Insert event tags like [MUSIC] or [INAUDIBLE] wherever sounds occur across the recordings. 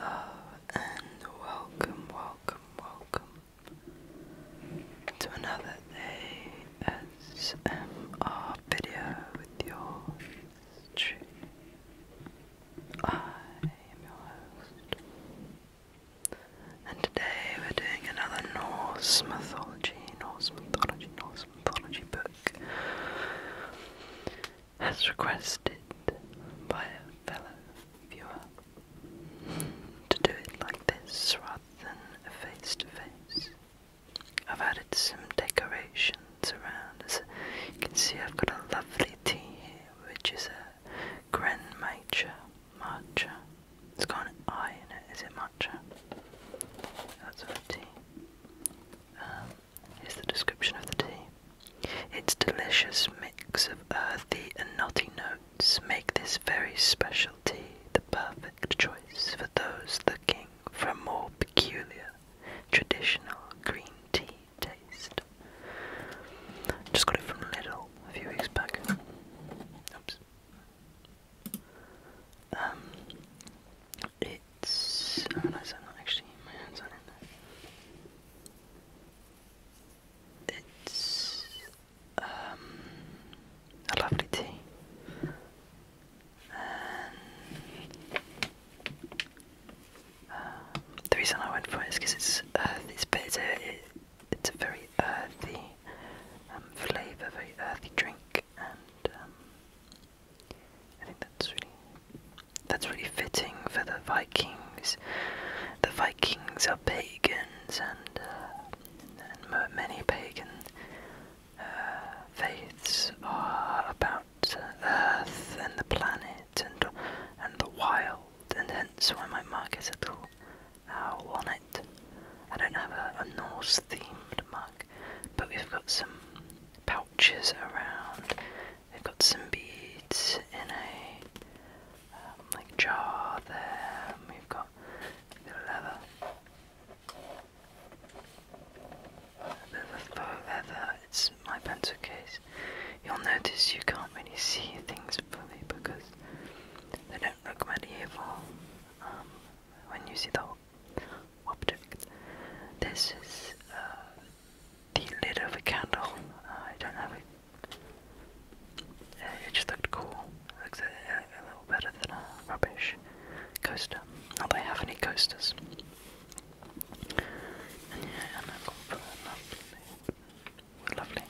Hello and welcome, welcome, welcome to another ASMR video with your stream. I am your host, and today we're doing another Norse mythology, Norse mythology, Norse mythology book as requested by a fellow viewer, to do it like this rather than face to face. I've added some decorations around. As you can see, I've got a lovely tea here, which is a Grand Matcha matcha. It's got an I in it. Is it matcha? That's our tea. Um, is the description of the tea. Its delicious mix of earthy and nutty notes make this very special tea the perfect choice for those looking for a more peculiar, traditional green tea taste. Just got it from Lidl a few weeks back. Oops. Um, it's. I realize I'm not actually my hands on it. It's. Um, a lovely tea. And. Um, the reason I went for it is because it's earth, it's bitter, it's a very earthy um, flavour, very earthy drink, and um, I think that's really that's really fitting for the Vikings. The Vikings are pagans and, uh, many pagan uh, faiths are about uh, earth and the planet and and the wild and hence why my mug is a little owl on it. I don't have a Norse themed mug, but we've got some pouches around. They've got some beads in a um, like jar there. we've got a bit of leather, a bit of faux leather. It's my pencil case. You'll notice you can't really see things fully because they don't look very evil um, when you see the whole object. This is uh, the lid of a candle. I don't have it. it just looked cool. It looks a, a little better than a rubbish coaster. Do they have any coasters. yeah, and I've got for lovely, lovely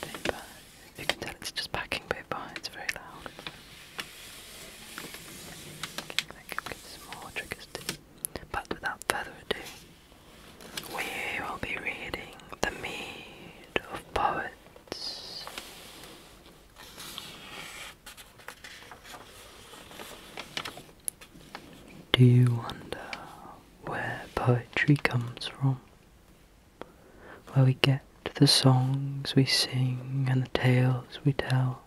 paper. You can tell it's just packing paper. It's very loud. But without further ado, we will be reading The Mead of Poets. Do you wonder where poetry comes from? Where we get the songs we sing and the tales we tell?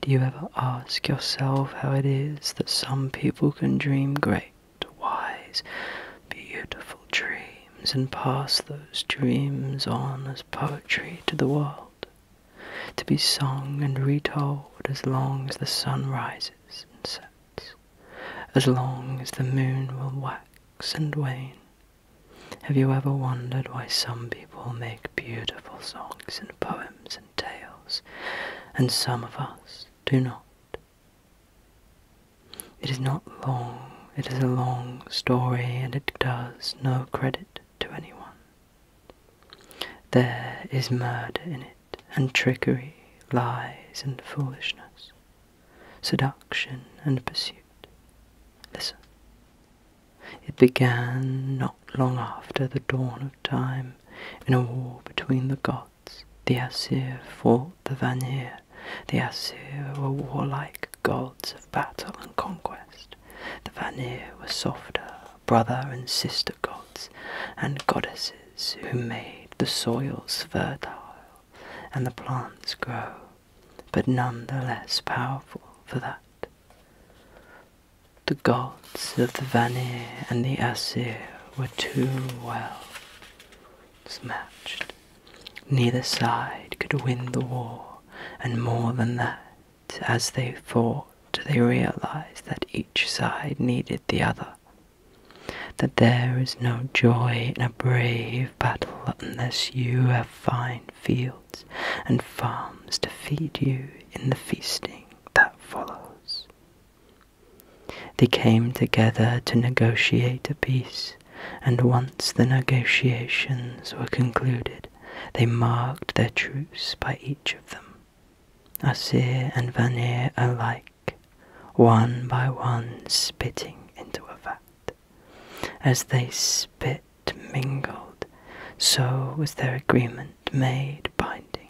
Do you ever ask yourself how it is that some people can dream great, wise, beautiful dreams and pass those dreams on as poetry to the world, to be sung and retold as long as the sun rises and sets, as long as the moon will wax and wane? Have you ever wondered why some people make beautiful songs and poems and tales, and some of us do not. It is not long, it is a long story, and it does no credit to anyone. There is murder in it, and trickery, lies and foolishness, seduction and pursuit. Listen. It began not long after the dawn of time, in a war between the gods. The Asir fought the Vanir. The Asir were warlike gods of battle and conquest. The Vanir were softer, brother and sister gods, and goddesses who made the soils fertile and the plants grow, but none the less powerful for that. The gods of the Vanir and the Asir were too well matched. Neither side could win the war, and more than that, as they fought, they realized that each side needed the other. That there is no joy in a brave battle unless you have fine fields and farms to feed you in the feasting that follows. They came together to negotiate a peace, and once the negotiations were concluded, they marked their truce by each of them. Asir and Vanir alike, one by one spitting into a vat. As they spit, mingled, so was their agreement made binding.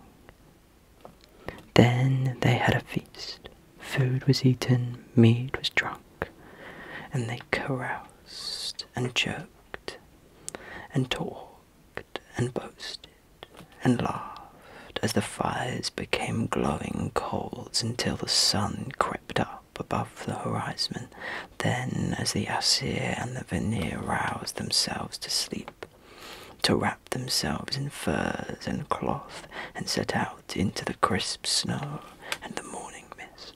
Then they had a feast. Food was eaten, mead was drunk, and they caroused and joked, and talked and boasted, and laughed as the fires became glowing coals until the sun crept up above the horizon then, as the Asir and the Vanir roused themselves to sleep, to wrap themselves in furs and cloth and set out into the crisp snow and the morning mist.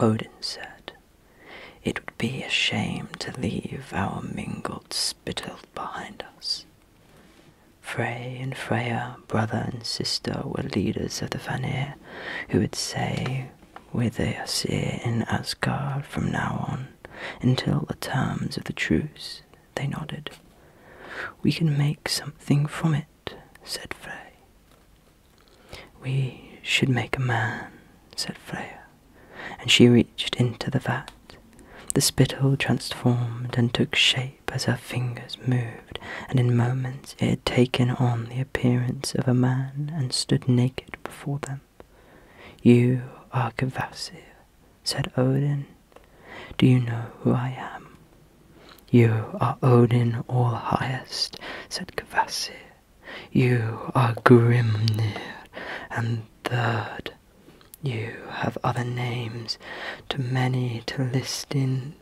Odin said, It would be a shame to leave our mingled spittle behind us. Frey and Freya, brother and sister, were leaders of the Vanir, who would say, where they are seer in Asgard from now on, until the terms of the truce, they nodded. We can make something from it, said Frey. We should make a man, said Freya, and she reached into the vat. The spittle transformed and took shape as her fingers moved, and in moments it had taken on the appearance of a man and stood naked before them. You are Kvasir, said Odin. Do you know who I am? You are Odin all highest, said Kvasir. You are Grimnir, and third. You have other names, too many to list in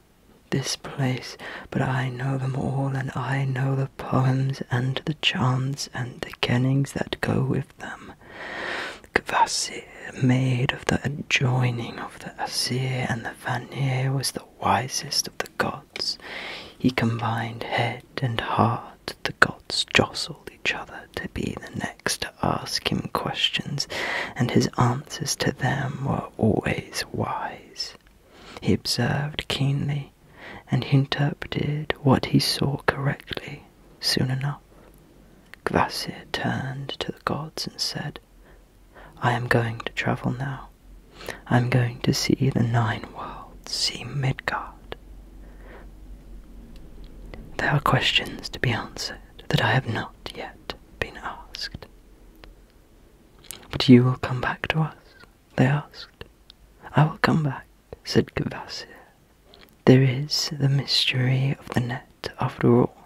this place but I know them all, and I know the poems and the chants and the kennings that go with them. The Kvasir, maid of the adjoining of the Asir and the Vanir, was the wisest of the gods. He combined head and heart. The gods jostled each other to be the next to ask him questions, and his answers to them were always wise. He observed keenly and he interpreted what he saw correctly soon enough. Kvasir turned to the gods and said, I am going to travel now. I am going to see the nine worlds, see Midgard. There are questions to be answered that I have not yet been asked. But you will come back to us they asked. I will come back, said Kvasir. There is the mystery of the net, after all,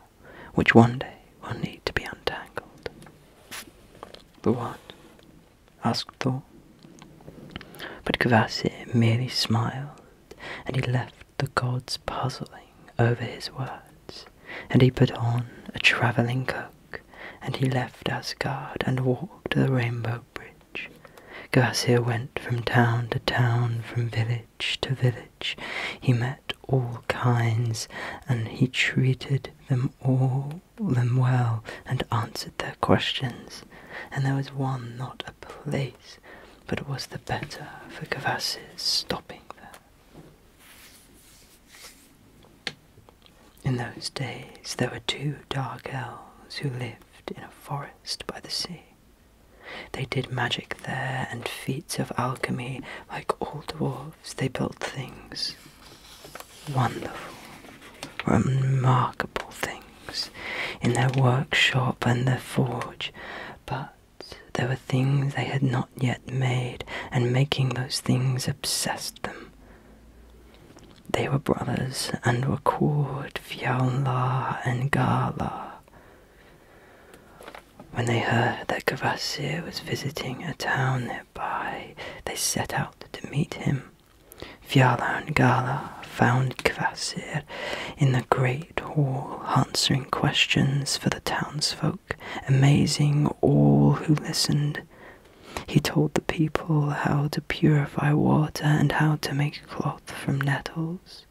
which one day will need to be untangled. The what? asked Thor. But Kvasir merely smiled, and he left the gods puzzling over his words, and he put on a travelling cloak and he left Asgard and walked the Rainbow Bridge. Glasir went from town to town, from village to village. He met all kinds, and he treated them all them well and answered their questions. And there was one not a place, but was the better for Kvasir's stopping there. In those days there were two dark elves who lived in a forest by the sea. They did magic there and feats of alchemy. Like all dwarfs. they built things wonderful, remarkable things in their workshop and their forge. But there were things they had not yet made, and making those things obsessed them. They were brothers and were called Fiallar and Gala. When they heard that Gavasir was visiting a town nearby, they set out to meet him. Fiallar and Gala found Gavasir in the great hall answering questions for the townsfolk, amazing all who listened. He told the people how to purify water and how to make cloth from nettles.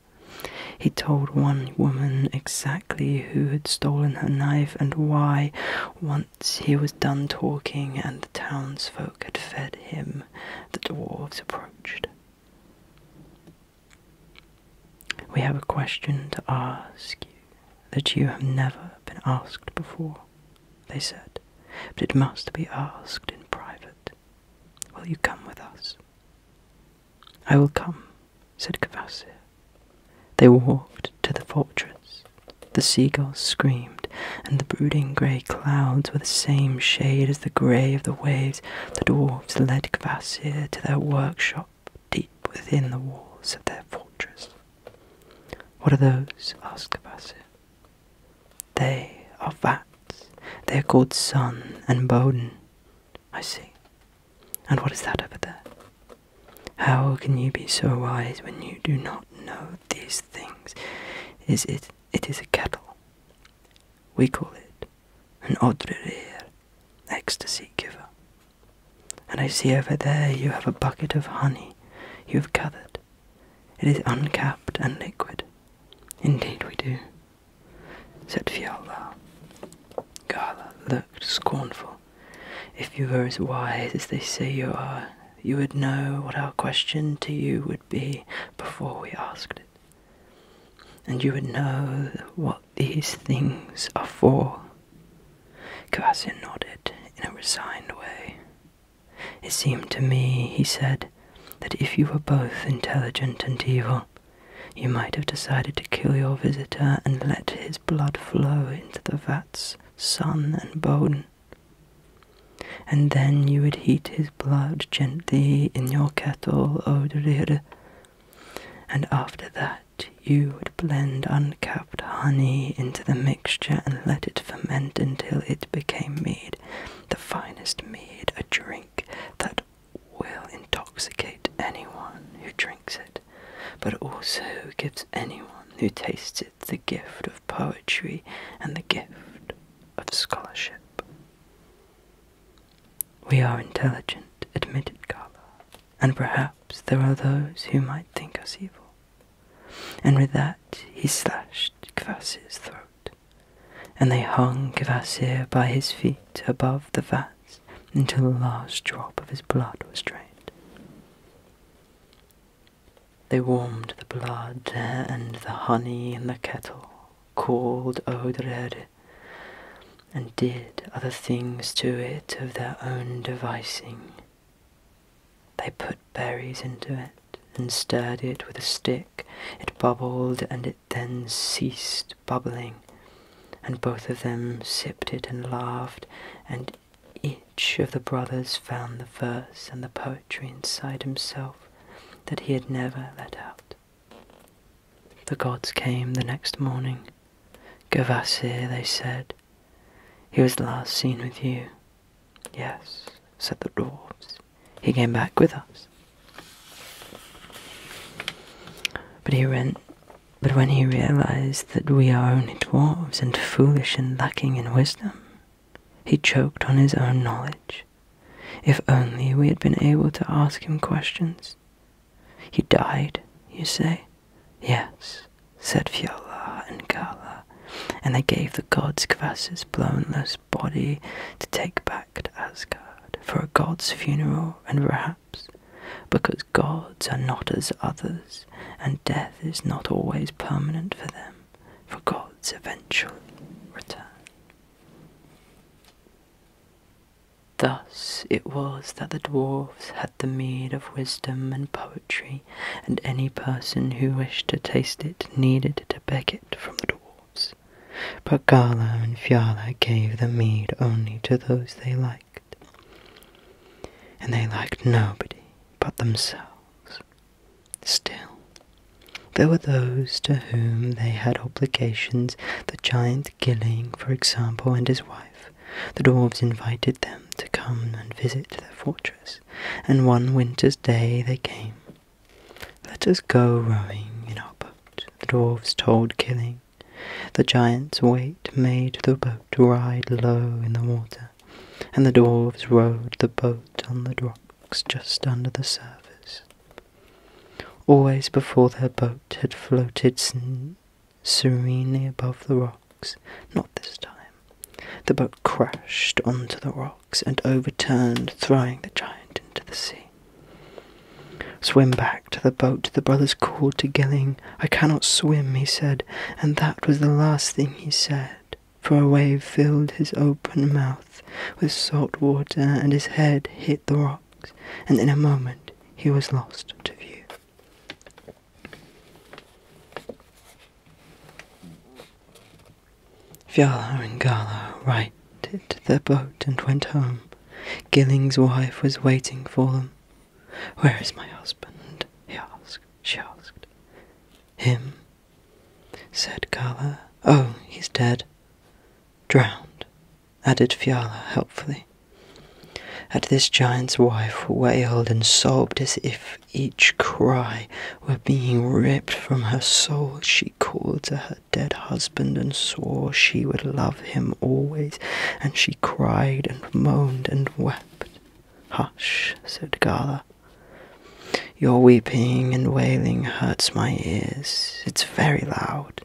He told one woman exactly who had stolen her knife and why. Once he was done talking and the townsfolk had fed him, the dwarves approached. We have a question to ask you that you have never been asked before they said, but it must be asked in private. Will you come with us? I will come, said Kvasir. They walked to the fortress. The seagulls screamed, and the brooding grey clouds were the same shade as the grey of the waves. The dwarfs led Kvasir to their workshop deep within the walls of their fortress. What are those? asked Kvasir. They are vats. They are called Sun and Bowden. I see. And what is that over there? How can you be so wise when you do not know these things? Is it it is a kettle. We call it an odrerir, ecstasy giver. And I see over there you have a bucket of honey you have gathered. It is uncapped and liquid. Indeed, we do, said Fiala. Gala looked scornful. If you were as wise as they say you are, you would know what our question to you would be before we asked it. And you would know what these things are for. Kvasir nodded in a resigned way. It seemed to me, he said, that if you were both intelligent and evil, you might have decided to kill your visitor and let his blood flow into the vats, sun and bone. And then you would heat his blood gently in your kettle, Oderir, and after that you would blend uncapped honey into the mixture and let it ferment until it became mead, the finest mead, a drink that will intoxicate anyone who drinks it, but also gives anyone who tastes it the gift of poetry and the gift of scholarship. We are intelligent, admitted Carla, and perhaps there are those who might think us evil. And with that he slashed Kvasir's throat, and they hung Kvasir by his feet above the vat until the last drop of his blood was drained. They warmed the blood and the honey in the kettle, called Odrede, and did other things to it of their own devising, they put berries into it and stirred it with a stick. It bubbled and it then ceased bubbling, and both of them sipped it and laughed, and each of the brothers found the verse and the poetry inside himself that he had never let out. The gods came the next morning. Gavasir, they said, he was the last seen with you. Yes, said the dwarfs. He came back with us. But he went but when he realized that we are only dwarfs and foolish and lacking in wisdom, he choked on his own knowledge. If only we had been able to ask him questions. He died, you say? Yes, said Fiala and Gala, and they gave the gods Kvas's blownless body to take back to Asgard for a god's funeral, and perhaps because gods are not as others, and death is not always permanent for them, for gods eventually return. Thus it was that the dwarfs had the meed of wisdom and poetry Tree, and any person who wished to taste it needed to beg it from the dwarfs. But Gala and Fiala gave the mead only to those they liked, and they liked nobody but themselves. Still, there were those to whom they had obligations, the giant Gilling, for example, and his wife. The dwarfs invited them to come and visit their fortress and one winter's day they came. Let us go rowing in our boat, the dwarfs told Killing. The giant's weight made the boat ride low in the water, and the dwarfs rowed the boat on the rocks just under the surface. Always before their boat had floated serenely above the rocks, not this time. The boat crashed onto the rocks and overturned, throwing the giant into the sea. Swim back to the boat, the brothers called to Gilling. I cannot swim, he said, and that was the last thing he said, for a wave filled his open mouth with salt water and his head hit the rocks, and in a moment he was lost to view. Fiala and Gala righted the boat and went home. Gilling's wife was waiting for them. Where is my husband? he asked. She asked. Him? said Gala. Oh, he's dead. Drowned, added Fiala helpfully. At this giant's wife wailed and sobbed as if each cry were being ripped from her soul. She called to her dead husband and swore she would love him always, and she cried and moaned and wept. Hush, said Gala. Your weeping and wailing hurts my ears. It's very loud.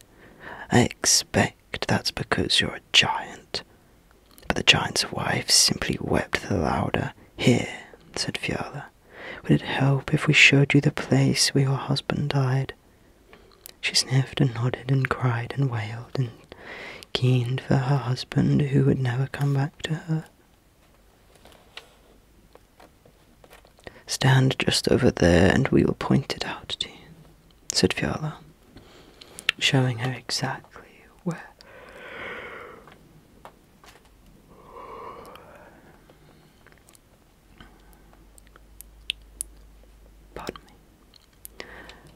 I expect that's because you're a giant. But the giant's wife simply wept the louder. Here, said Fiala, would it help if we showed you the place where your husband died? She sniffed and nodded and cried and wailed and keened for her husband who would never come back to her. Stand just over there and we will point it out to you, said Fiala, showing her exactly where Pardon me.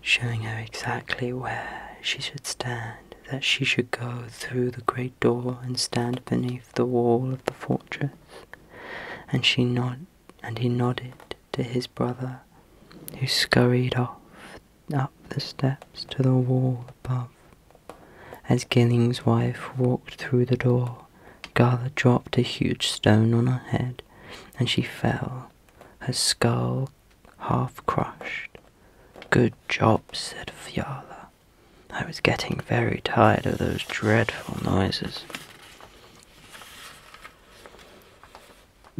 Showing her exactly where she should stand, that she should go through the great door and stand beneath the wall of the fortress. And she nod and he nodded to his brother, who scurried off up the steps to the wall above. As Gilling's wife walked through the door, Gala dropped a huge stone on her head, and she fell, her skull half crushed. Good job, said Fiala. I was getting very tired of those dreadful noises.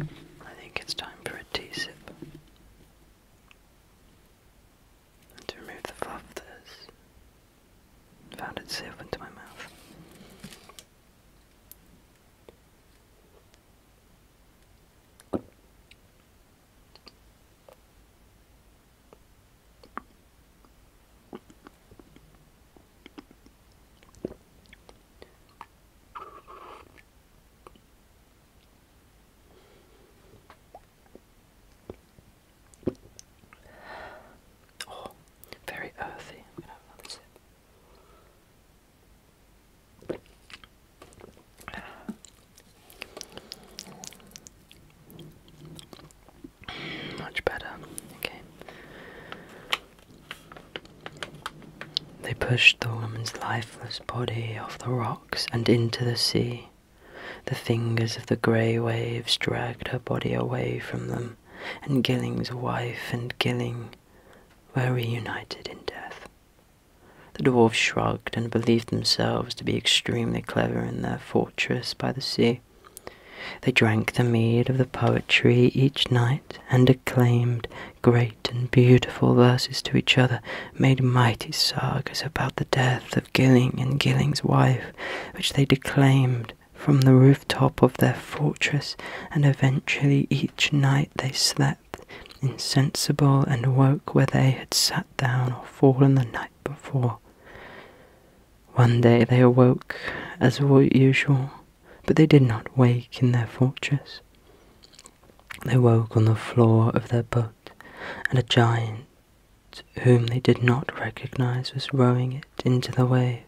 I think it's time for a tea sip. And to remove the fluff that has found itself into my mouth. Oh, very earthy. [SIGHS] Much better. Okay. They pushed the woman's lifeless body off the rock and into the sea. The fingers of the grey waves dragged her body away from them, and Gilling's wife and Gilling were reunited in death. The dwarfs shrugged and believed themselves to be extremely clever in their fortress by the sea. They drank the mead of the poetry each night and acclaimed great and beautiful verses to each other, made mighty sagas about the death of Gilling and Gilling's wife, which they declaimed from the rooftop of their fortress, and eventually each night they slept insensible and woke where they had sat down or fallen the night before. One day they awoke as usual, but they did not wake in their fortress. They woke on the floor of their boat, and a giant whom they did not recognize was rowing it into the waves.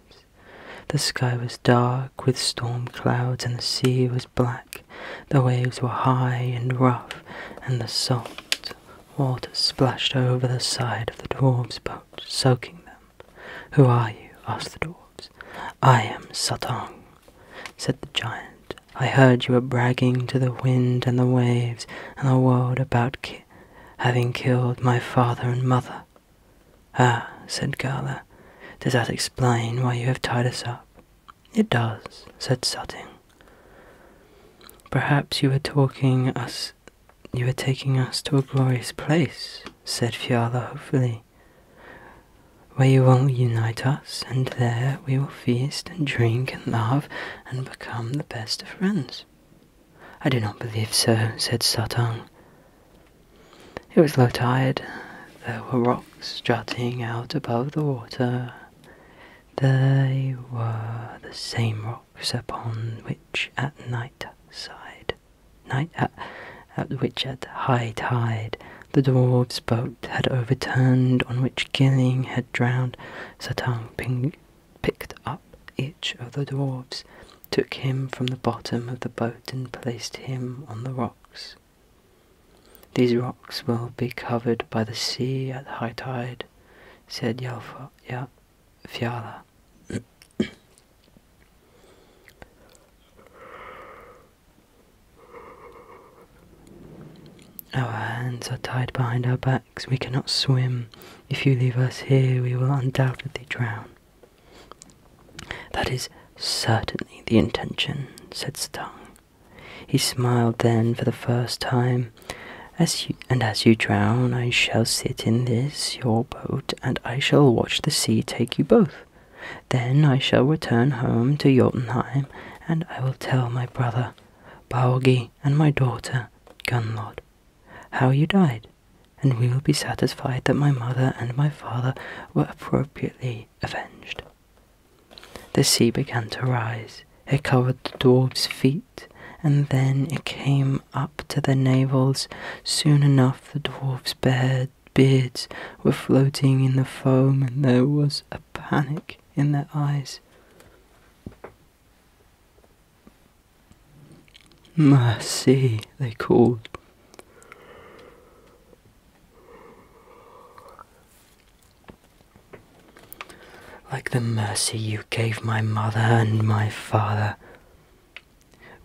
The sky was dark with storm clouds, and the sea was black. The waves were high and rough, and the salt water splashed over the side of the dwarfs' boat, soaking them. Who are you? asked the dwarfs. I am Satang, said the giant. I heard you were bragging to the wind and the waves and the world about having killed my father and mother. Ah, said Gala, does that explain why you have tied us up? It does, said Sutting. Perhaps you were talking us you were taking us to a glorious place, said Fiala hopefully where you will unite us, and there we will feast and drink and love and become the best of friends. I do not believe so, said Sartang. It was low tide. There were rocks jutting out above the water. They were the same rocks upon which at night side, night at, at which at high tide the dwarf's boat had overturned, on which Gilling had drowned. Satang ping picked up each of the dwarfs, took him from the bottom of the boat, and placed him on the rocks. These rocks will be covered by the sea at high tide, said Yalfa, ya, Fiala. Our hands are tied behind our backs. We cannot swim. If you leave us here, we will undoubtedly drown. That is certainly the intention, said Stang. He smiled then for the first time. As and as you drown, I shall sit in this, your boat, and I shall watch the sea take you both. Then I shall return home to Jotunheim and I will tell my brother Baugi, and my daughter Gunlod how you died, and we will be satisfied that my mother and my father were appropriately avenged. The sea began to rise. It covered the dwarf's feet, and then it came up to their navels. Soon enough, the dwarf's bare beards were floating in the foam, and there was a panic in their eyes. Mercy, they called. Like the mercy you gave my mother and my father.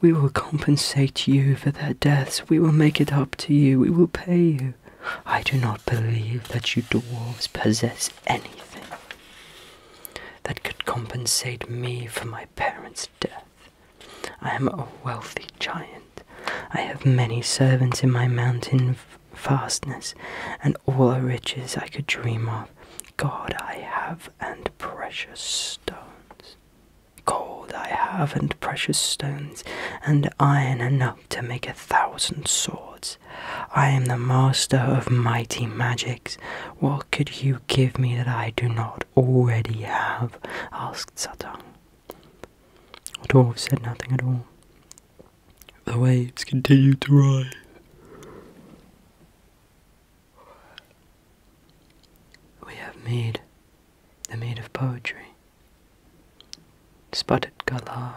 We will compensate you for their deaths. We will make it up to you. We will pay you. I do not believe that you dwarves possess anything that could compensate me for my parents' death. I am a wealthy giant. I have many servants in my mountain fastness, and all the riches I could dream of. God I have, and precious stones. Gold I have, and precious stones, and iron enough to make a thousand swords. I am the master of mighty magics. What could you give me that I do not already have? asked Satang. The dwarf said nothing at all. The waves continued to rise. We have made the maid of poetry, sputtered Galar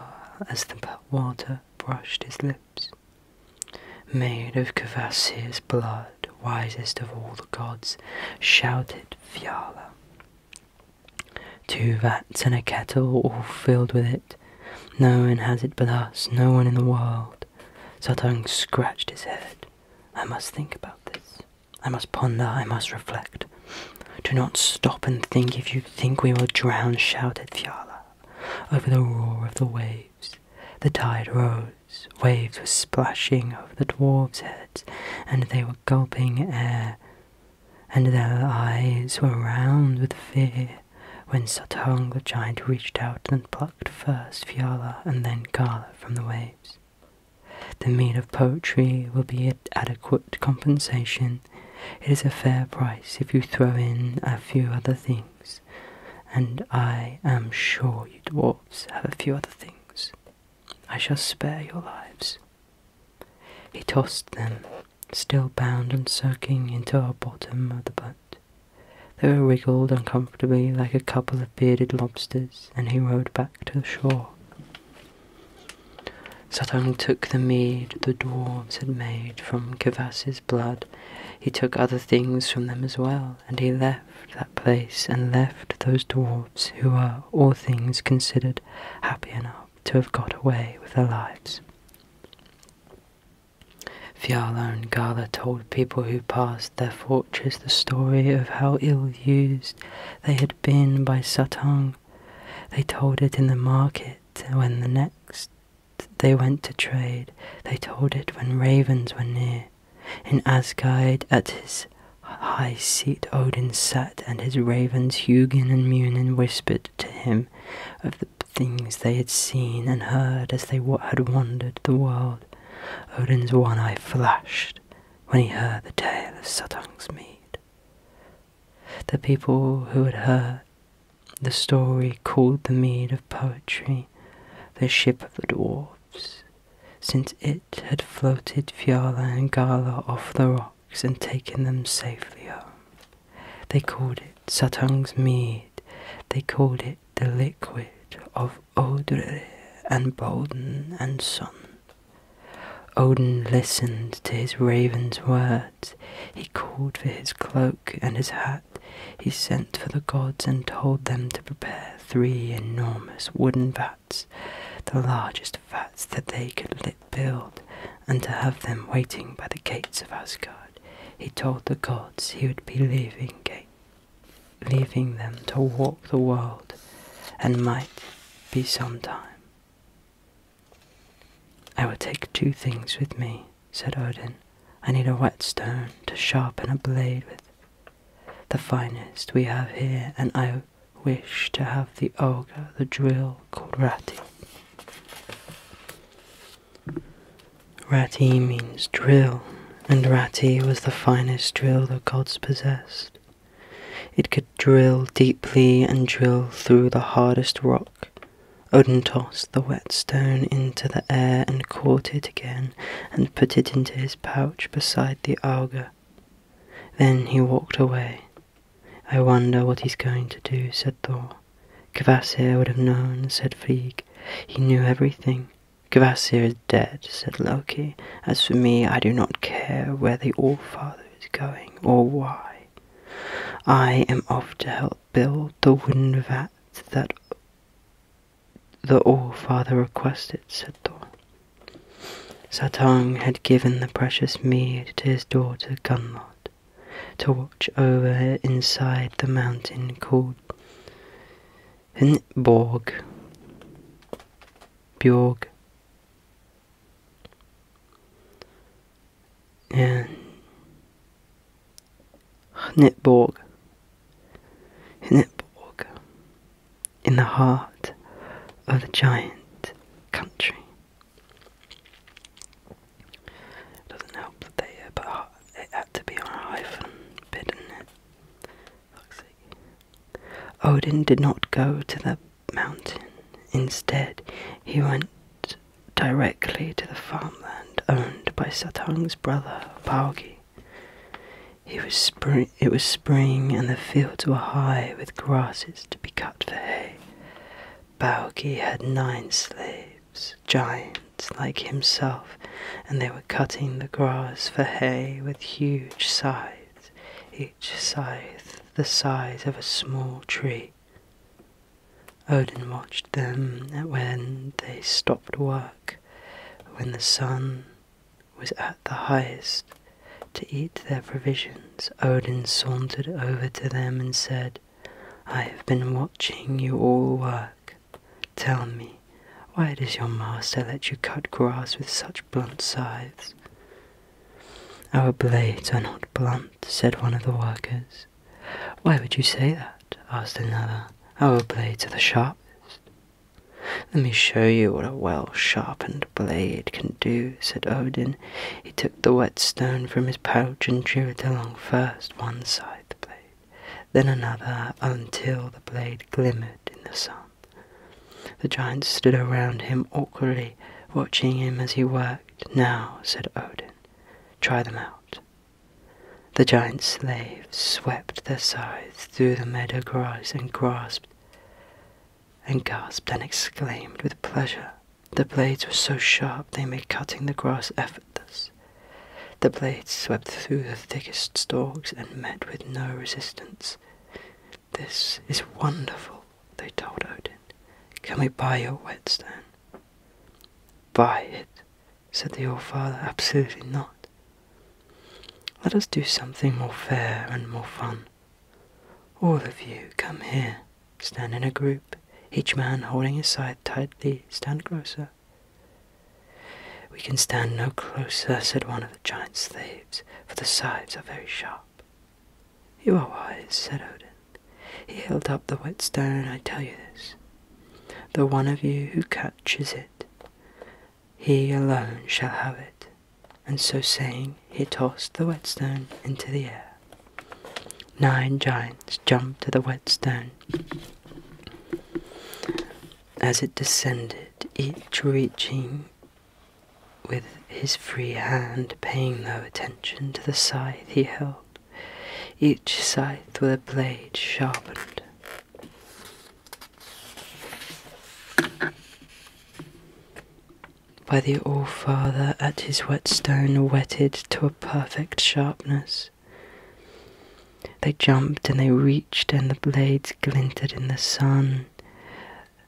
as the water brushed his lips. Made of Kvasir's blood, wisest of all the gods, shouted Fiala. Two vats and a kettle all filled with it. No one has it but us, no one in the world. Satung scratched his head. I must think about this. I must ponder, I must reflect. Do not stop and think if you think we will drown, shouted Viola, Over the roar of the waves, the tide rose. Waves were splashing over the dwarfs' heads, and they were gulping air, and their eyes were round with fear. When Suttung the giant reached out and plucked first Viola and then Carla from the waves. The meat of poetry will be adequate compensation it is a fair price if you throw in a few other things, and I am sure you dwarfs have a few other things. I shall spare your lives. He tossed them, still bound and soaking, into the bottom of the boat. They wriggled uncomfortably like a couple of bearded lobsters, and he rowed back to the shore. Suttung took the mead the dwarves had made from Cavas's blood. He took other things from them as well, and he left that place and left those dwarves who were, all things considered, happy enough to have got away with their lives. Fiala and Gala told people who passed their fortresses the story of how ill used they had been by Suttung they told it in the market when the next they went to trade. They told it when ravens were near. In Asgard, at his high seat, Odin sat, and his ravens, Hugin and Munin, whispered to him of the things they had seen and heard as they had wandered the world. Odin's one eye flashed when he heard the tale of Suttung's mead the people who had heard The story called the mead of poetry, the ship of the dwarfs, since it had floated Fiala and Gala off the rocks and taken them safely home. They called it Satung's mead, they called it the liquid of Odre and Bolden and Son. Odin listened to his raven's words. He called for his cloak and his hat. He sent for the gods and told them to prepare three enormous wooden vats, the largest vats that they could build, and to have them waiting by the gates of Asgard. He told the gods he would be leaving leaving them to walk the world, and might be some time. I will take two things with me, said Odin. I need a whetstone to sharpen a blade with, the finest we have here, and I wish to have the auger, the drill called Rati. Rati means drill, and Rati was the finest drill the gods possessed. It could drill deeply and drill through the hardest rock. Odin tossed the whetstone into the air and caught it again and put it into his pouch beside the auger. Then he walked away. I wonder what he's going to do, said Thor. Kvasir would have known, said Frigg. He knew everything. Kvasir is dead, said Loki. As for me, I do not care where the Allfather is going or why. I am off to help build the wind vat that the Allfather requested, said Thor. Satang had given the precious mead to his daughter Gunlod to watch over her inside the mountain called Hinborg. Bjorg and Netborg, Netborg, in the heart of the giant country. Doesn't help that they, uh, it had to be on a hyphen bit, did Odin did not go to the mountain. Instead, he went directly to the farmland owned by Satung's brother, Baugi. it was spring, and the fields were high with grasses to be cut for hay. Baugi had nine slaves, giants like himself, and they were cutting the grass for hay with huge scythes, each scythe the size of a small tree. Odin watched them when they stopped work, when the sun was at the highest. To eat their provisions, Odin sauntered over to them and said, I have been watching you all work. Tell me, why does your master let you cut grass with such blunt scythes? Our blades are not blunt, said one of the workers. Why would you say that? asked another. I will blade to the sharpest. Let me show you what a well sharpened blade can do, said Odin. He took the whetstone from his pouch and drew it along first one side the blade, then another, until the blade glimmered in the sun. The giants stood around him awkwardly, watching him as he worked. Now, said Odin, try them out. The giant slaves swept their scythes through the meadow grass and grasped and gasped and exclaimed with pleasure. The blades were so sharp they made cutting the grass effortless. The blades swept through the thickest stalks and met with no resistance. This is wonderful, they told Odin. Can we buy your whetstone? Buy it, said the old Father. Absolutely not. Let us do something more fair and more fun. All of you, come here. Stand in a group, each man holding his side tightly. Stand closer. We can stand no closer, said one of the giant slaves, for the sides are very sharp. You are wise, said Odin. He held up the whetstone. stone, I tell you this. The one of you who catches it, he alone shall have it. And so saying, he tossed the whetstone into the air. Nine giants jumped to the whetstone. As it descended, each reaching with his free hand paying no attention to the scythe he held, each scythe with a blade sharpened. By the old Father at his whetstone whetted to a perfect sharpness. They jumped and they reached, and the blades glinted in the sun.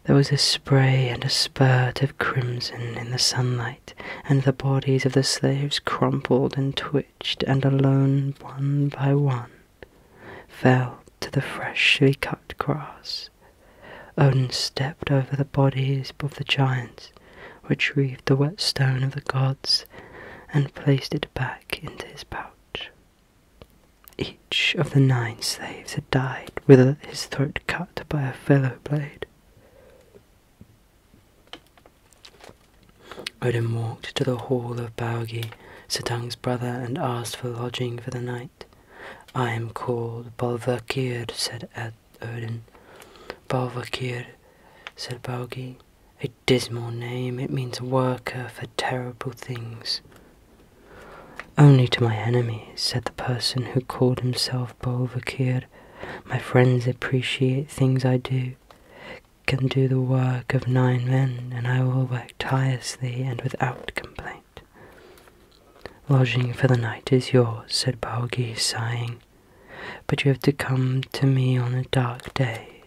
There was a spray and a spurt of crimson in the sunlight, and the bodies of the slaves crumpled and twitched, and alone, one by one, fell to the freshly cut grass. Odin stepped over the bodies of the giants, retrieved the wet stone of the gods, and placed it back into his pouch. Each of the nine slaves died, with his throat cut by a fellow blade. Odin walked to the hall of Baugi, Suttung's brother, and asked for lodging for the night. I am called Balvakir, said Ed. Odin. Balvakir, said Baugi. A dismal name, it means worker for terrible things. Only to my enemies, said the person who called himself of Bolvakir. My friends appreciate things I do, can do the work of nine men, and I will work tirelessly and without complaint. Lodging for the night is yours, said Baugi, sighing, but you have to come to me on a dark day.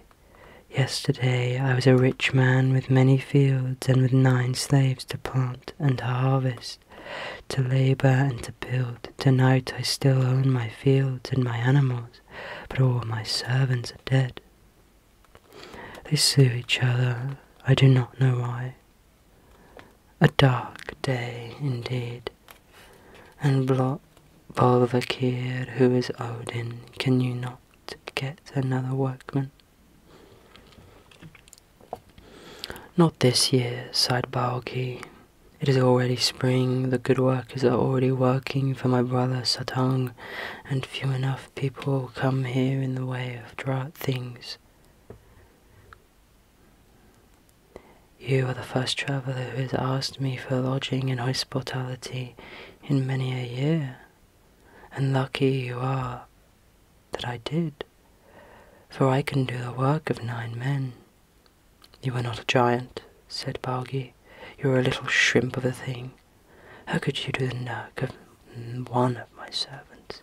Yesterday I was a rich man with many fields and with nine slaves to plant and harvest to labour and to build. Tonight I still own my fields and my animals, but all my servants are dead. They sue each other, I do not know why. A dark day indeed, and Blot Bolvakir, who is Odin, can you not get another workman? Not this year, sighed Baoki. It is already spring, the good workers are already working for my brother Satang, and few enough people come here in the way of drought things. You are the first traveller who has asked me for lodging and hospitality in many a year, and lucky you are that I did, for I can do the work of nine men. You are not a giant, said Baugi. You are a little shrimp of a thing. How could you do the work of one of my servants,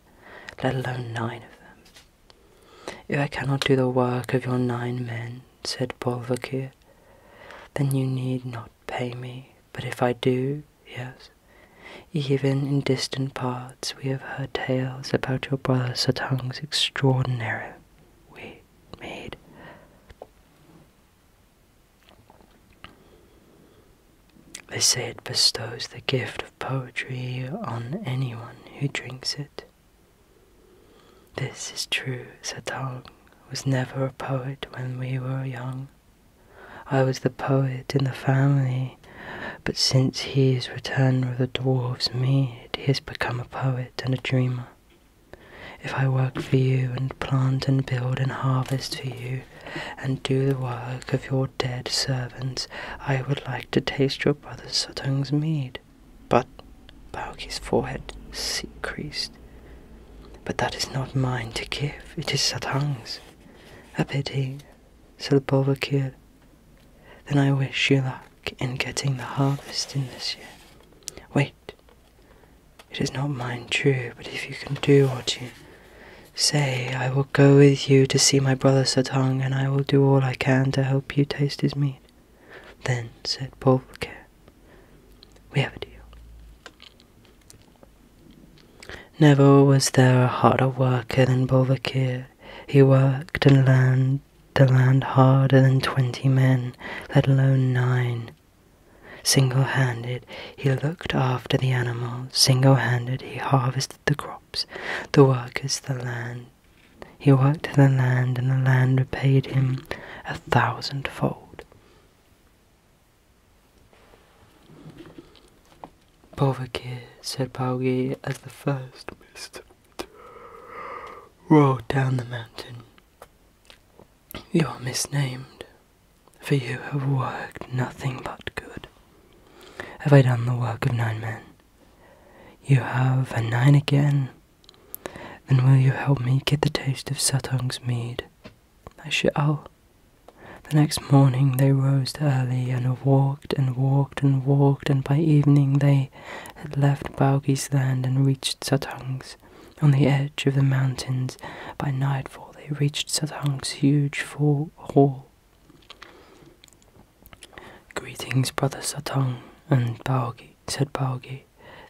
let alone nine of them? If I cannot do the work of your nine men, said Bolvakir, then you need not pay me. But if I do, yes, even in distant parts, we have heard tales about your brother Satung's extraordinary we made. They say it bestows the gift of poetry on anyone who drinks it. This is true, Satang was never a poet when we were young. I was the poet in the family but since he has returned with the dwarfs, me, he has become a poet and a dreamer. If I work for you, and plant and build and harvest for you, and do the work of your dead servants, I would like to taste your brother Sutung's mead. But Bauki's forehead creased. But that is not mine to give, it is Satung's. A pity, said the Silbovakir, then I wish you luck in getting the harvest in this year. Wait, it is not mine, true, but if you can do what you say, I will go with you to see my brother Satang, and I will do all I can to help you taste his meat. Then, said Bolker, we have a deal. Never was there a harder worker than Bolvakir, he worked and learned the land harder than twenty men, let alone nine. Single handed, he looked after the animals. Single handed, he harvested the crops, the workers, the land. He worked the land, and the land repaid him a thousandfold. Poverkir said Paugi as the first mist rolled down the mountain. You are misnamed, for you have worked nothing but good. Have I done the work of nine men? You have, and nine again. Then will you help me get the taste of Satung's mead? I shall. The next morning they rose early, and a war and walked and walked, and by evening they had left Baugi's land and reached Satangs. On the edge of the mountains, by nightfall they reached Satang's huge full hall. Greetings, brother Satang and Baugi, said Baugi.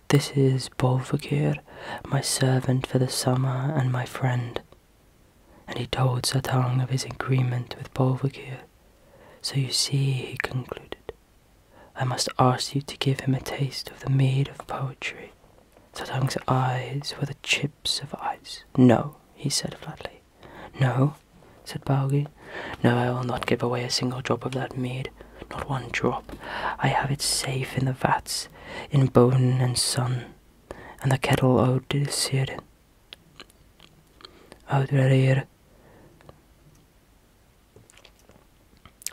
This is Bolvakir, my servant for the summer and my friend and he told Satang of his agreement with Bolvakir. So you see, he concluded, I must ask you to give him a taste of the mead of poetry. Satang's eyes were the chips of ice. No, he said flatly. No, said Baugi. No, I will not give away a single drop of that mead. Not one drop. I have it safe in the vats, in bone and sun, and the kettle ode to Sirin. Outrarier.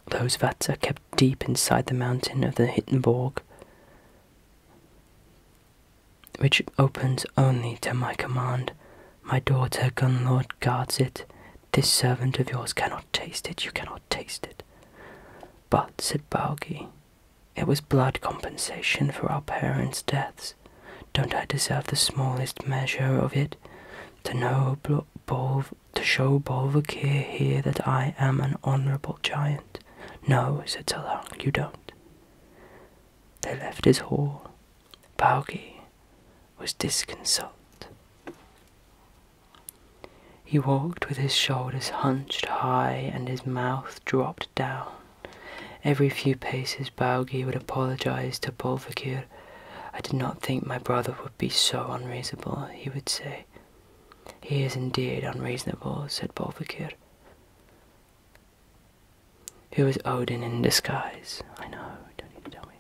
Those vats are kept deep inside the mountain of the Hittenborg, which opens only to my command. My daughter Gunlord guards it. This servant of yours cannot taste it. You cannot taste it. But, said Baugi, it was blood compensation for our parents' deaths. Don't I deserve the smallest measure of it? To know Bolv to show Bolvakir here that I am an honourable giant. No, said Salang, you don't. They left his hall. Baugi was disconsolate. He walked with his shoulders hunched high and his mouth dropped down. Every few paces, Baugi would apologize to Bolvakir. I did not think my brother would be so unreasonable, he would say. He is indeed unreasonable, said Bolvakir. Who is Odin in disguise? I know, don't need tell me.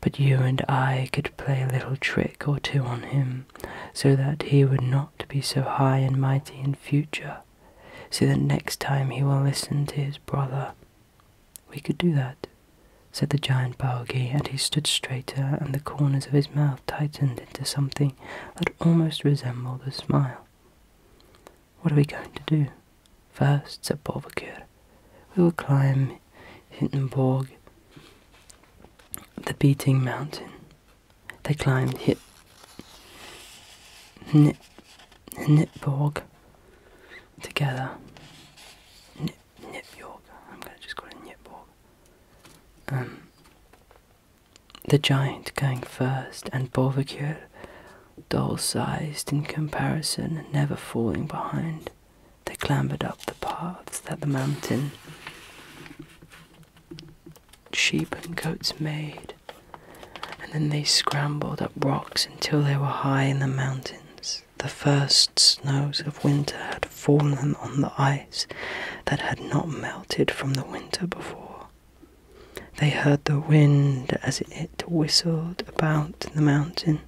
But you and I could play a little trick or two on him, so that he would not be so high and mighty in future so that next time he will listen to his brother. We could do that, said the giant Baugi, and he stood straighter, and the corners of his mouth tightened into something that almost resembled a smile. What are we going to do? First, said Bovakur, we will climb Hindenburg, the beating mountain. They climbed Nip, Nipborg together. Nip, Nip I'm going to just call it Nipborg. Um, the giant going first, and Bolvacure, doll sized in comparison, never falling behind. They clambered up the paths that the mountain sheep and goats made, and then they scrambled up rocks until they were high in the mountains. The first snows of winter had fallen on the ice that had not melted from the winter before. They heard the wind as it whistled about the mountain.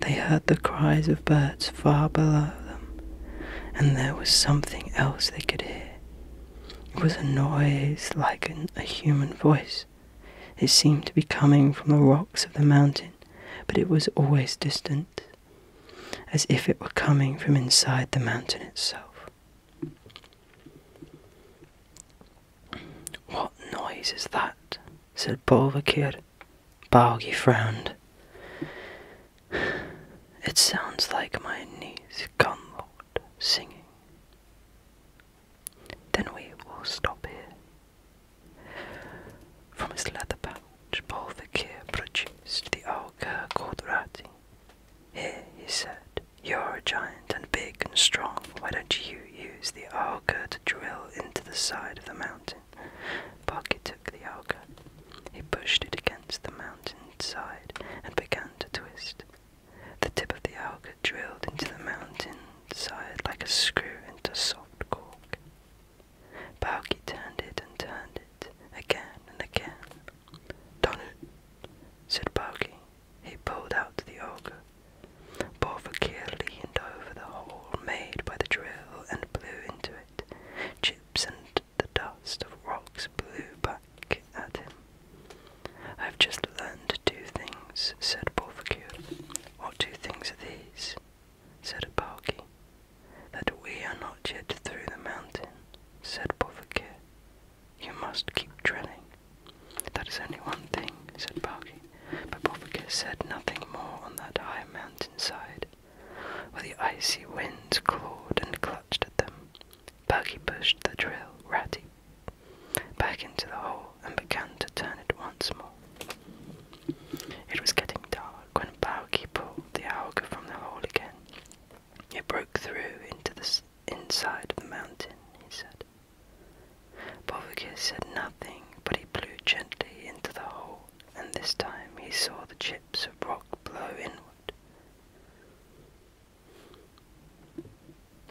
They heard the cries of birds far below them, and there was something else they could hear. It was a noise like a human voice. It seemed to be coming from the rocks of the mountain, but it was always distant, as if it were coming from inside the mountain itself. What noise is that? said Bolvakir. Balgi frowned. It sounds like my niece Gunlord singing. Then we will stop here. From his leather pouch, Bolvakir produced the auger called Rati. Here, he said, you're a giant and big and strong. Why don't you use the auger to drill into the side of the mountain? Baki took the auger. He pushed it against the mountain side and began to twist. The tip of the auger drilled into the mountain side like a screw into soft cork. Balky turned it and turned it again and again. Done it, said Balky. He pulled out the auger. Bovakir leaned over the hole made by the drill and blew into it. Chips and the dust of rocks blew back at him. I've just learned two things, said Porfacure. What two things are these? said Apalki. That we are not yet through the mountain, said Porfacure. You must keep drilling. That is only one thing, said Barkey, but Bobbica said nothing more on that high mountain side, where the icy winds clawed and clutched at them, Buggy pushed the drill ratty back into the hole and began to turn it once more. It was getting dark when Buggy pulled the auger from the hole again. It broke through into the inside of the mountain, he said. Bovigis said nothing, but he blew gently into the hole, and this time he saw the chips of rock blow inward.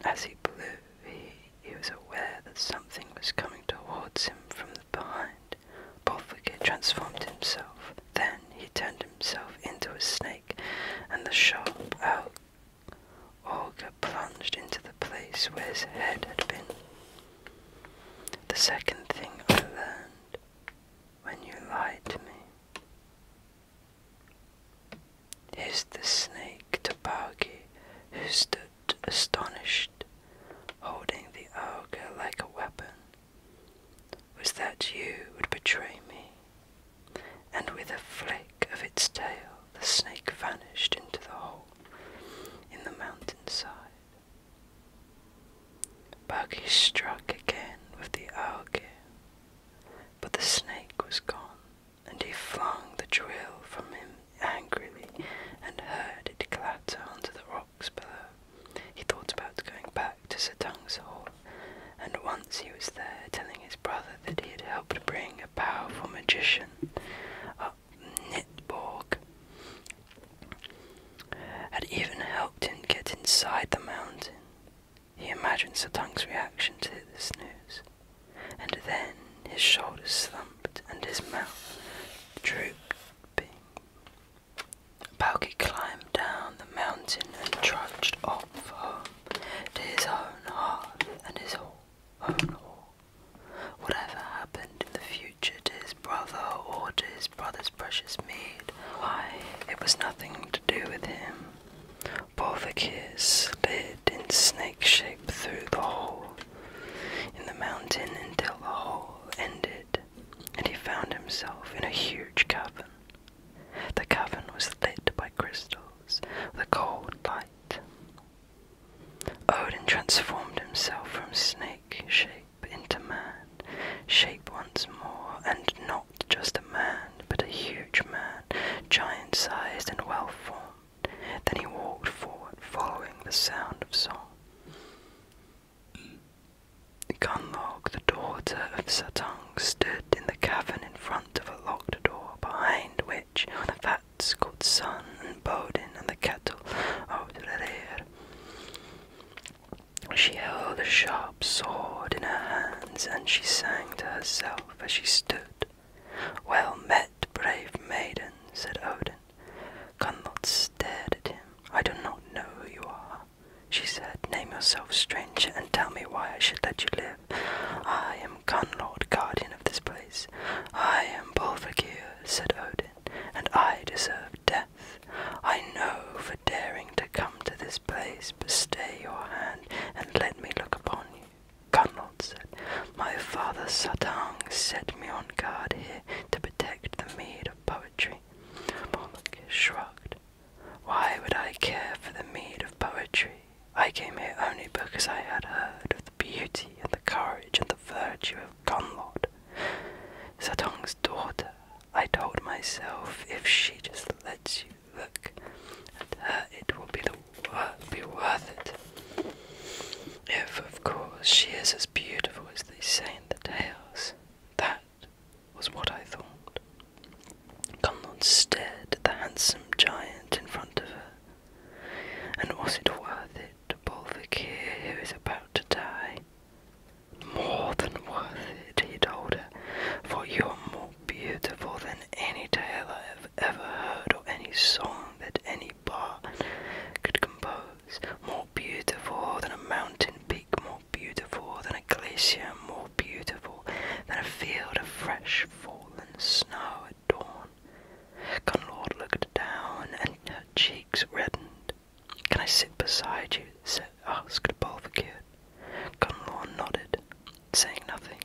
As he blew, he, was aware that something was coming towards him from behind. Bolfagir transformed himself. Then he turned himself into a snake, and the sharp owl auger plunged into the place where his head had been. The second thing I learned when you lied to me is the snake to Baugi, who stood astonished, holding the auger like a weapon. Was that you would betray me? And with a flick of its tail, the snake vanished into the hole in the mountainside. Buggy struck again with the auger, but the snake was gone and he flung the drill from him angrily and heard it clatter onto the rocks below. He thought about going back to Sir Tung's hall, and once he was there telling his brother that he had helped bring a powerful magician up Nitborg, had even helped him get inside the mountain. He imagined Satang's reaction to this news, and then his shoulders slumped and his mouth drooped. Balky climbed down the mountain and trudged off home to his own heart and his own home. Whatever happened in the future to his brother or to his brother's precious meat, why, it was nothing to do with him. Both the kids slid in snake shape through the hole in the mountain until the hole ended, and he found himself in a huge cavern. The cavern was lit by crystals with a cold light. Odin transformed himself from snake shape into man, shape once more, and not just a man, but a huge man, giant sized and well formed. Then he walked forward, following the sound of song. Gunlog, the daughter of Satung, stood in the cavern in front of a locked door, behind which the fat, called Sun and Bodin and the kettle of Rerir. She held a sharp sword in her hands, and she sang to herself as she stood well met, brave maiden, said Odin. Gunlot stared at him. I do not know who you are, she said. Name yourself, stranger, and tell me why I should let you live. I am Gunlord, guardian of this place. I am Bolfagir, said Odin, and I deserve death. I know for daring to come to this place, but stay your hand and let me look upon you. Connlod said, My father Sadang set me on guard here to protect the mead of poetry. Moloch shrugged. Why would I care for the mead of poetry? I came here only because I had heard of the beauty and the courage and the virtue of Conlod. Satong's daughter, I told myself, if she just lets you, look at her, uh, it will be, worth it. If, of course, she is as beautiful as they say in the tales. That was what I thought. Conlon stared at the handsome giant in front of her. And was it worth it to Bolvik here who is about to die? More than worth it, he told her, for you are more beautiful than any tale ever. I've ever heard, or any song that any bar could compose. More beautiful than a mountain peak, more beautiful than a glacier, more beautiful than a field of fresh fallen snow at dawn. Conlord looked down, and her cheeks reddened. Can I sit beside you? asked Bolvacure. Conlord nodded, saying nothing.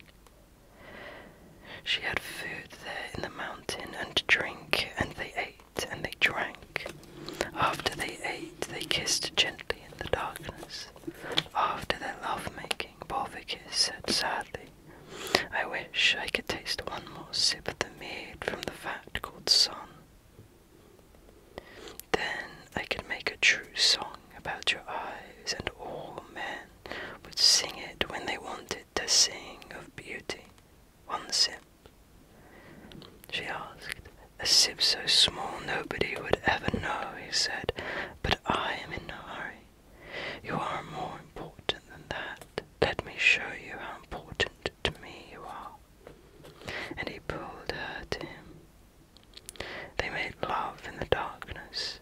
She had food there in the mountain and drink, and they ate and they drank. After they ate, they kissed gently in the darkness. After their lovemaking, Bolvikis said sadly, I wish I could taste one more sip of the mead from the vat called Sun. Then I could make a true song about your eyes and all men would sing it when they wanted to sing of beauty. One sip. She asked, a sip so small nobody would ever know, he said, but I am in no hurry. You are more important than that. Let me show you how important to me you are. And he pulled her to him. They made love in the darkness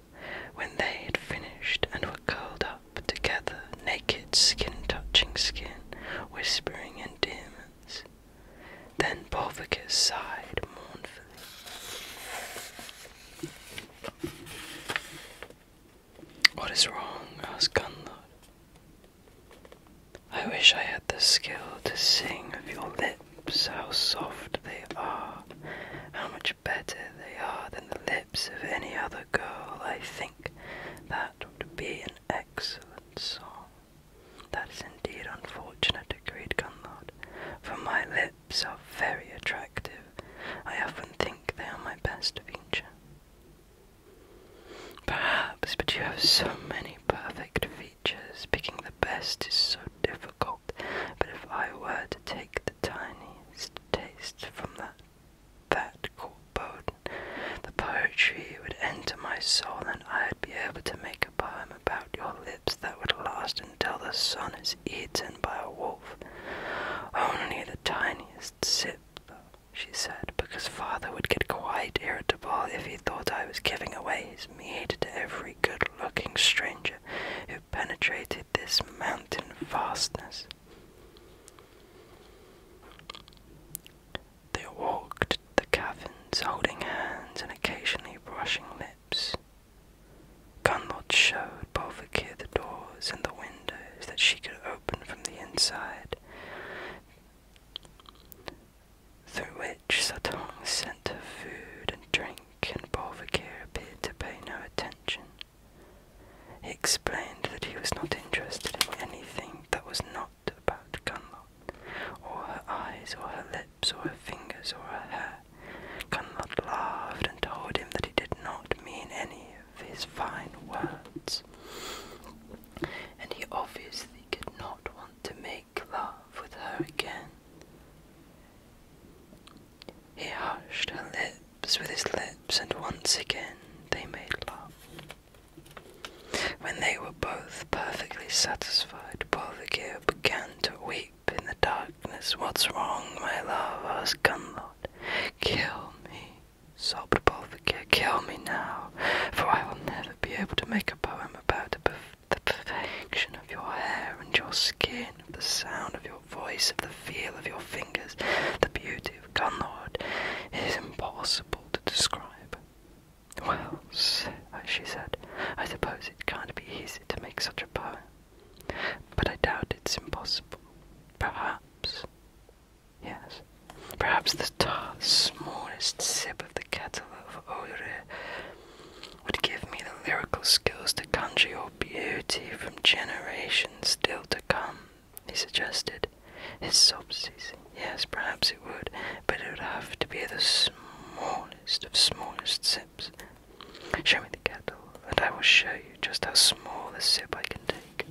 when they had finished and were curled up together, naked, skin touching skin, whispering in endearments. Then Bolvicus sighed mournfully. What is wrong? asked Gunlod. I wish I had the skill to sing of your lips, how soft they are, how much better they are than the lips of any other girl. I think that would be an excellent song. That is indeed unfortunate, agreed Gunlord, for my lips are very attractive. I often think they are my best feature. Perhaps, but you have so many perfect features. Picking the best is so difficult but if I were to take the tiniest taste from that that Bowden, the poetry would enter my soul, and I'd be able to make a poem about your lips that would last until the sun is eaten by a wolf. Only the tiniest sip, though, she said, because father would get quite irritable if he thought I was giving away his mead to every good looking stranger penetrated this mountain fastness. They walked the caverns, holding hands and occasionally brushing lips. Gunlod showed Bolvakir the doors and the windows that she could open from the inside, through which Satong sent her food and drink and Bolvakir appeared to pay no attention. He explained that he was not interested in anything that was not about Gunlot, or her eyes, or her lips, or her fingers, or her hair. Gunlot laughed and told him that he did not mean any of his fine words, and he obviously did not want to make love with her again. He hushed her lips with his lips, and once again they made love. When they were both perfectly satisfied, Bolvigir began to weep in the darkness. What's wrong, my love? asked Gunlod. Kill me, sobbed Bolvigir. Kill me now, for I will never be able to make a poem about the perfection of your hair and your skin of the sound of your voice, of the feel of your fingers, the beauty of Gunlord, it is impossible to describe. Well, she said, I suppose it can't be easy to make such a poem, but I doubt it's impossible. Perhaps, yes, perhaps the smallest sip of the kettle of Ore would give me the lyrical skills to conjure your beauty from generations still to come, he suggested. His sob ceasing. Yes, perhaps it would, but it would have to be the smallest of smallest sips. Show me the kettle, and I will show you just how small a sip I can take.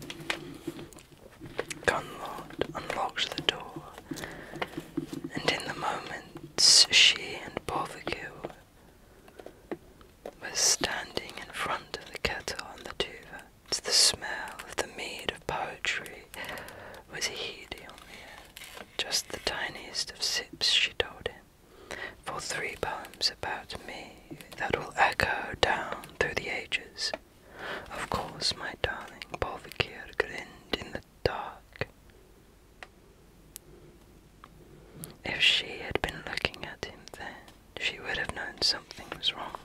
Gunlord unlocked the door, and in the moment she and Barbecue was standing in front of the kettle on the tuva. To the smell of the mead of poetry was heady on the air, just the tiniest of sips, she told him, for three poems about me that will echo down through the ages. Of course, my darling, Bolvikir grinned in the dark. If she had been looking at him then, she would have known something was wrong.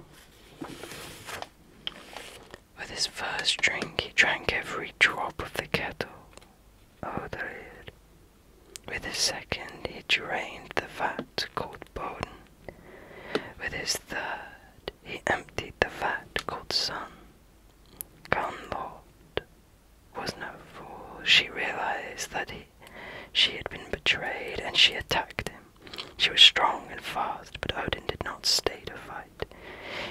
With his first drink, he drank every drop of the kettle. Oh, dear. With his second, he drained the vat called Boden. With his third, he emptied the vat called Sun. Come, Lord, was no fool. She realized that he, she had been betrayed and she attacked him. She was strong and fast, but Odin did not stay to fight.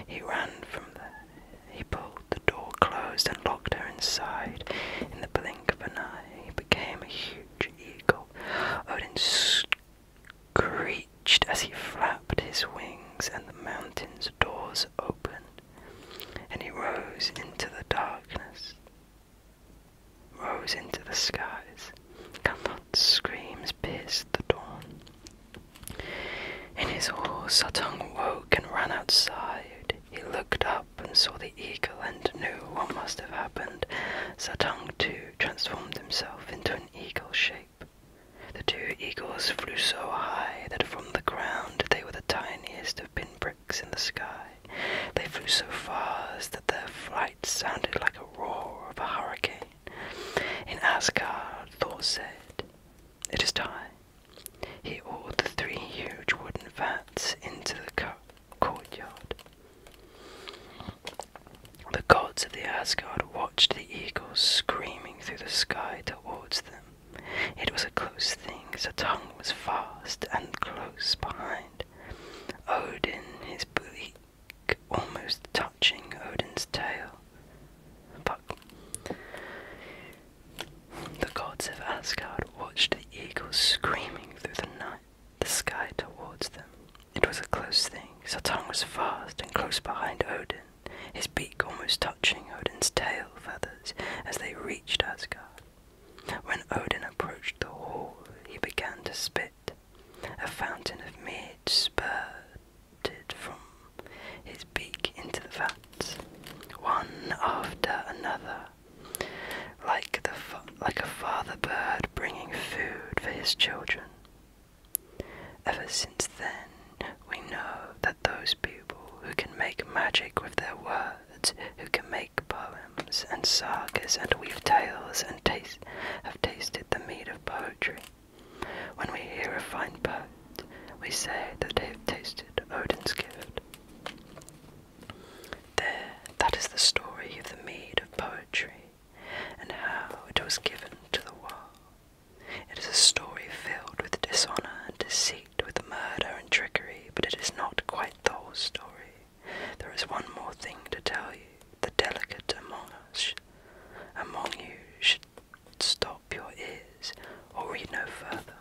He ran from there. He pulled the door closed and locked her inside. In the blink of an eye, he became a huge eagle. Odin screeched as he flapped his wings, and the mountain's doors opened and he rose into the darkness, rose into the skies. Gandalf's screams pierced the dawn. In his awe, Suttung woke and ran outside. He looked up and saw the eagle and knew what must have happened. Suttung, too, transformed himself into an eagle shape. The two eagles flew so high that from the ground they were the tiniest of pinpricks in the sky. They flew so fast that their flight sounded like a roar of a hurricane. In Asgard, Thor said, It is time. He ordered the three huge wooden vats into the courtyard. The gods of the Asgard watched the eagles screaming through the sky towards them. It was a close thing, the tongue was fast and close behind. Odin, his beak almost touching Odin's tail. Fuck. The gods of Asgard watched the eagle screaming through the night, the sky towards them. It was a close thing. Saturn was fast and close behind Odin, his beak almost touching Odin's tail feathers as they reached Asgard. When Odin approached the hall, he began to spit. A fountain of mead spurted from his beak into the vats, one after another, like, the like a father bird bringing food for his children. Ever since then, we know that those people who can make magic with their words, who can make poems and sagas and weave tales and taste, have tasted the mead of poetry. When we hear a fine poet, we say that they have tasted Odin's gift. There, that is the story of the mead of poetry and how it was given to the world. It is a story filled with dishonor and deceit with murder and trickery, but it is not quite the whole story. There is one more thing to tell you. The delicate among us, among you, should stop your ears or read no further.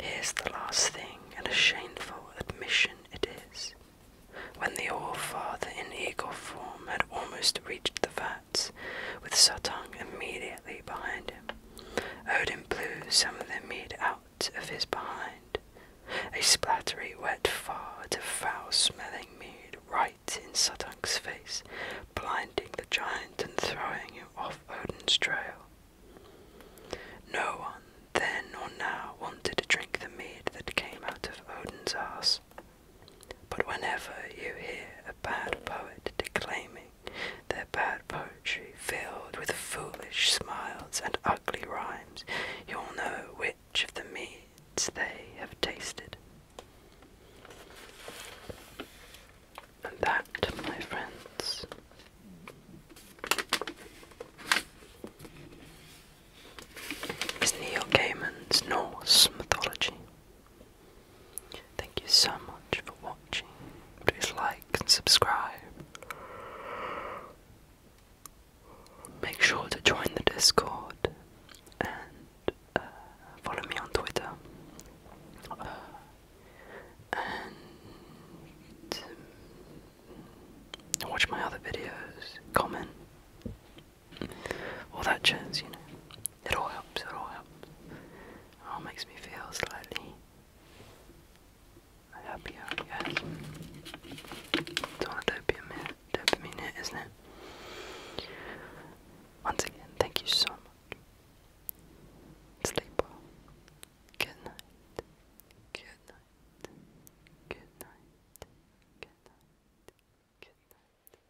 Here's the last thing, and a shameful admission it is. When the old father in eagle form had almost reached the vats, with Suttung immediately behind him, Odin blew some of the mead out of his behind, a splattery wet fart of foul-smelling mead right in Suttung's face, blinding the giant and throwing him off Odin's trail. No one, then or now, wanted to drink the mead that came out of Odin's arse. But whenever you hear a bad poet declaiming their bad poetry, filled with foolish smiles and ugly rhymes, you'll know which of the meats they have tasted. And that, my friends, is Neil Gaiman's Norse mythology. Thank you so much for watching. Please like and subscribe. Make sure to join the Discord and uh, follow me on Twitter. and watch my other videos, comment, all that jazz, you know. It all helps, it all helps. It all makes me feel slightly a happy hour, guys. It's on a dopamine, dopamine hit, isn't it? Once again, thank you so much. Sleep well. Good night. Good night. Good night. Good night. Good night. Good night.